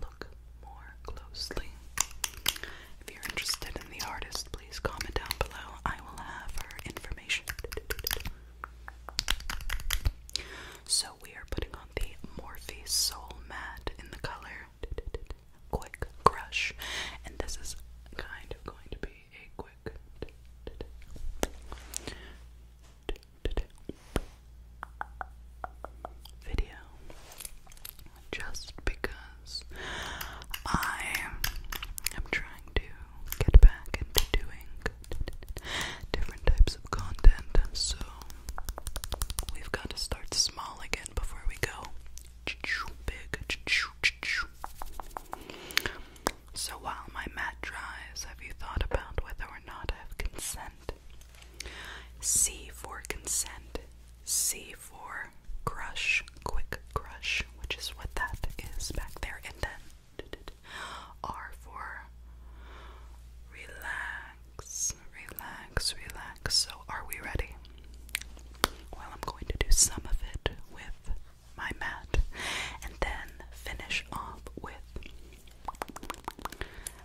look more closely. If you're interested in the artist, please comment down below. I will have her information. So we are putting on the Morphe Soul Matte in the color Quick Crush, and this is kind of going to be a quick video just because I am trying to get back into doing different types of content, so we've got to start small again before we go big. So while my mat dries, have you thought about whether or not I have consent C for consent. C for crush, quick crush, which is what that is back there. And then R for relax, relax, relax. So, are we ready? Well, I'm going to do some of it with my mat and then finish off with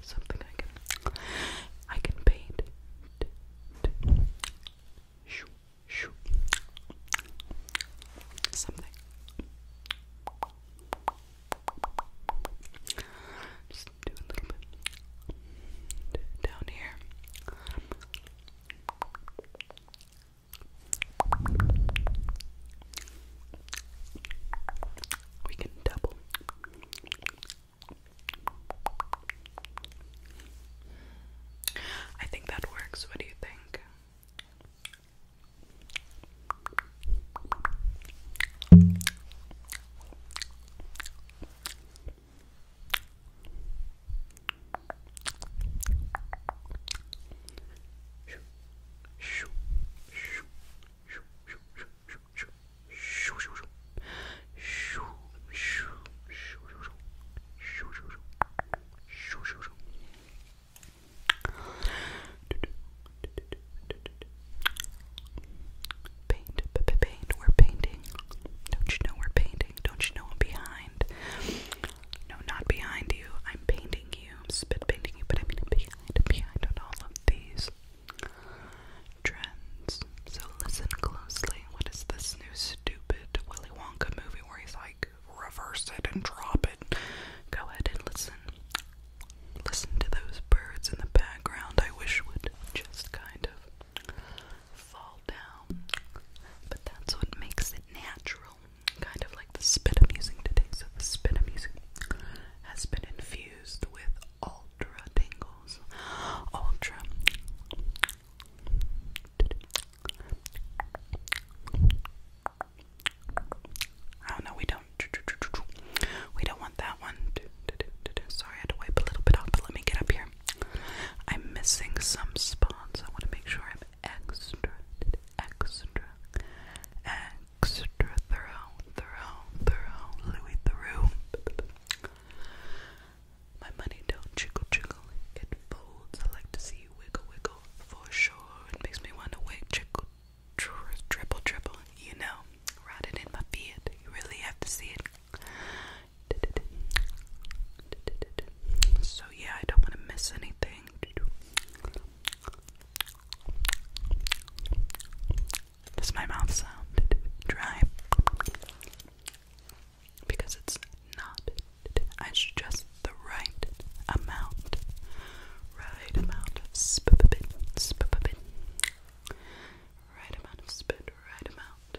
something I can I can paint. Shoo, shoo. Something. Just do a little bit down here. We can double. I think that works. What do you think? Shoo, shoo, shoo, shoo, shoo, shoo, Paint, paint, we're painting. Don't you know we're painting? Don't you know I'm behind? No, not behind you. I'm painting you. I'm spit painting you, but I mean I'm behind, I'm behind on all of these trends. So listen closely. What is this new stupid Willy Wonka movie where he's like, reverse it and drop it? Go ahead and listen. Listen to those birds in the background. I wish would just kind of fall down. But that's what makes it natural. Kind of like the spit I'm using today. So the spit I'm using has been infused with ultra tingles, ultra Oh no, we don't. We don't want that one. Sorry, I had to wipe a little bit off, but let me get up here. I'm missing some spots. I want to make sure I'm extra, extra, extra thorough, thorough, thorough, Louis through. My money don't trickle trickle, it folds. I like to see you wiggle wiggle for sure. It makes me wanna wiggle, trickle triple triple. You know, rot it in my beard. You really have to see it. So yeah, I don't wanna miss anything. Does my mouth sound dry? Because it's not. I just the right amount. Right amount of spit, Right amount of spit, right amount.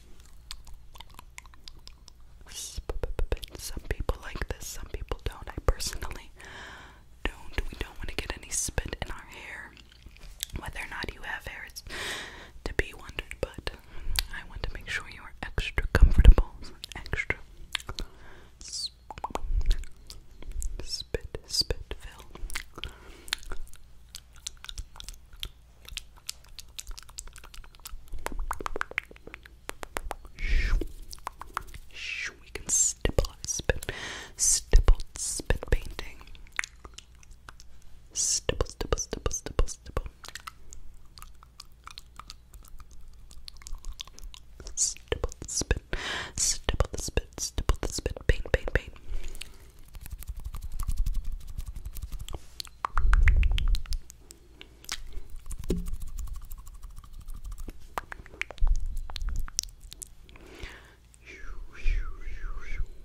Some people like this, some people don't. I personally don't. We don't want to get any spit in our hair. Whether or not you have hair is to be wondered, but I want to make sure you are extra comfortable, extra spit, spit, fill. We can stipple spit stippled spit painting. Stipple, stipple, stipple, stipple, stipple. Stipple the spit, stipple the spit, stipple the spit, paint, paint, paint.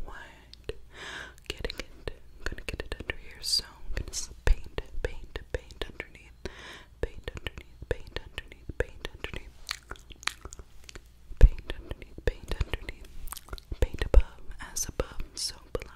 What? Getting it. I'm gonna get it under here, so I'm paint, paint, paint underneath, paint underneath, paint underneath, paint underneath, paint underneath, paint underneath, paint above, as above, so below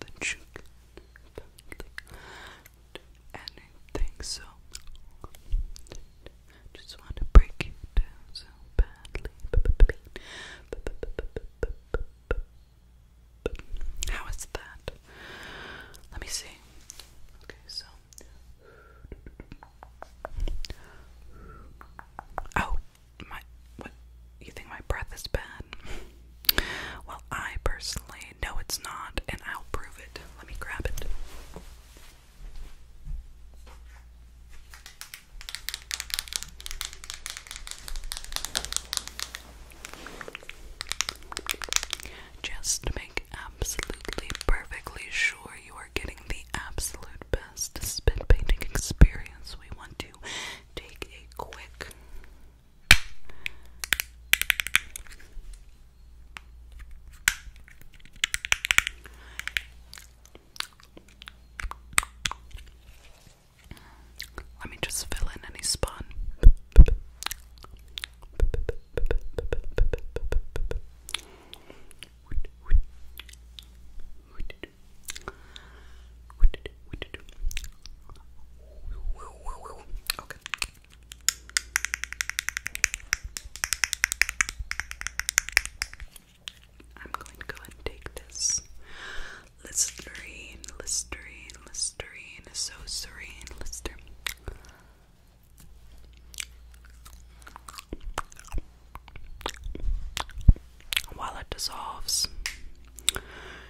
that you can do anything, so just want to break you down so badly. How is that? Let me see. Okay, so. Oh, my. What? you think my breath is bad? well, I personally know it's not, and I'll prove it. Let me grab it. Just make absolutely perfectly sure you are getting the absolute best spit painting experience, we want to take a quick let me just fill in any spot. Okay. I'm going to go and take this Listerine, Listerine, Listerine, so serene, Lister. While it dissolves,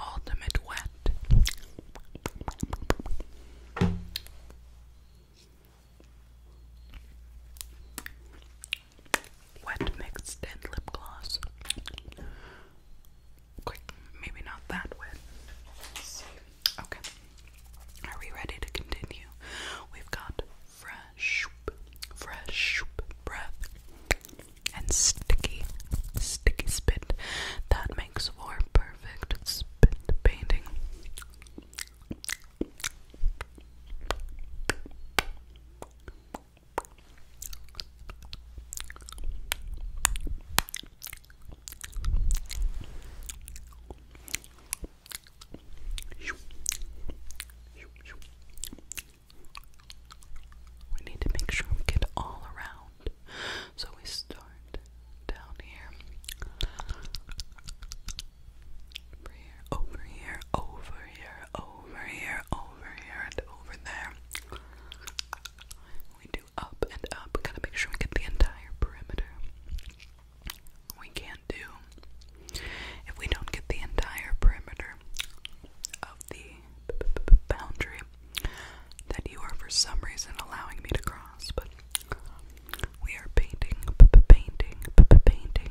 Ultimate Wet. Wet Mix Tint Lip Gloss. maybe not that wet. Okay. Are we ready to continue? We've got fresh, fresh breath and sticky, sticky spit that makes for perfect spit painting. We need to make sure we get all around. So we start down here, over here, over here, over here, over here, and over there. We do up and up. gotta make sure we get the entire perimeter. We can't do if we don't get the entire perimeter of the boundary that you are for some reason allowing me to cross, but we are painting, painting, painting.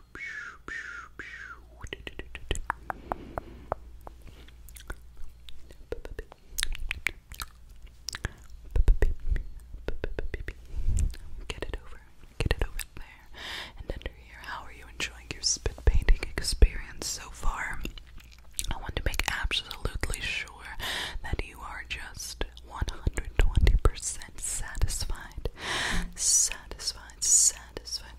Get it over, get it over there, and under here. How are you enjoying your spit painting experience so far? I want to make absolutely sure that you are just 120% satisfied. Satisfied, satisfied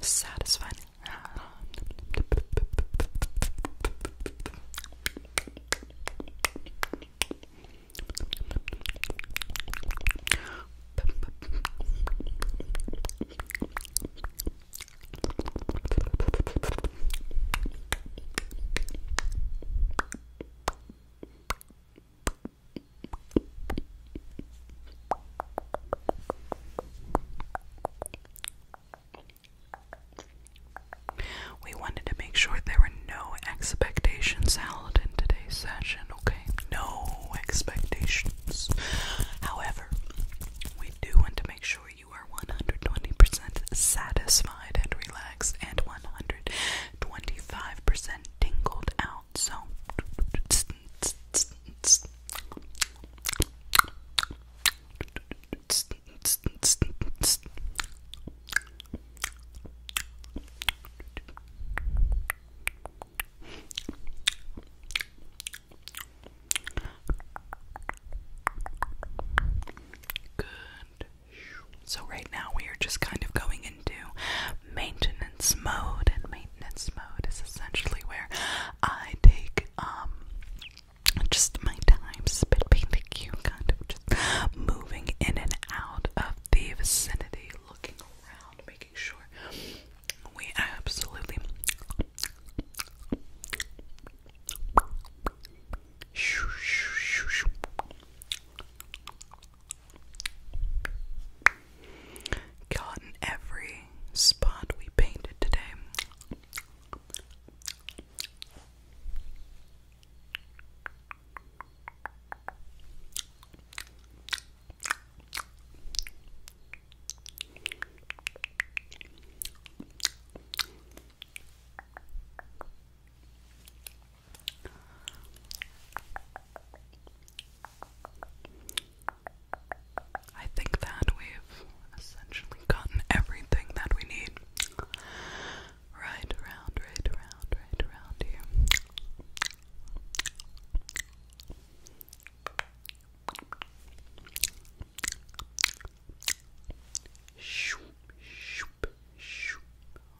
satisfying. We wanted to make sure there were no expectations held in today's session, okay? No expectations. However, we do want to make sure you are 120% satisfied and relaxed and 125% tingled out. So Good. So, right now we are just kind of going in into maintenance mode, and maintenance mode is essentially where I take um just my time spit painting you kind of just moving in and out of the vicinity, looking around, making sure we absolutely Got in every spot we painted today. I think that we've essentially gotten everything that we need. Right around, right around, right around here. Shoop, shoop, shoop.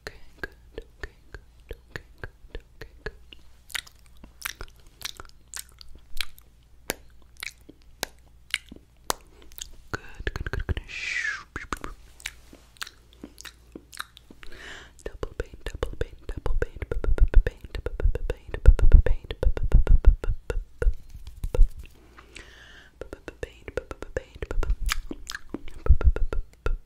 Okay, good. Okay, good. Okay, good. Okay, good. Good, good, good, good. Double paint, double paint, double paint, paint, paint, paint, paint, paint, paint, paint,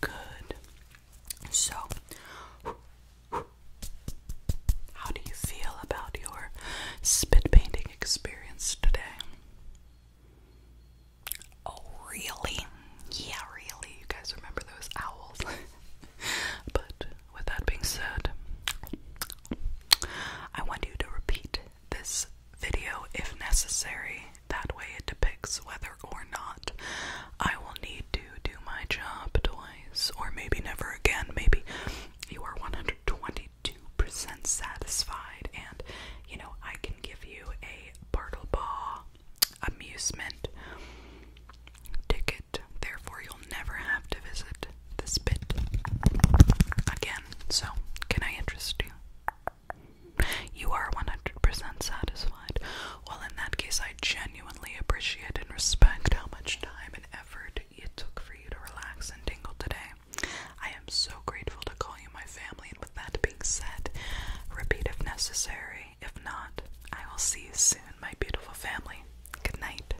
Good. So, how do you feel about your spit painting experience today? Oh, really? Yeah, really. You guys remember those owls? but with that being said, I want you to repeat this video if necessary. That way it depicts whether or not I will need to do my job twice, or maybe never again. Maybe you are 122% satisfied, and you know, I can give you a Bartle Ball amusement ticket, therefore, you'll never have to visit this bit again. So, can I interest you? You are 100% satisfied. Well, in that case, I genuinely appreciate and respect how much time and effort it took for you to relax and tingle today. I am so grateful to call you my family, and with that being said, repeat if necessary. If not, I will see you soon, my beautiful family. Good night.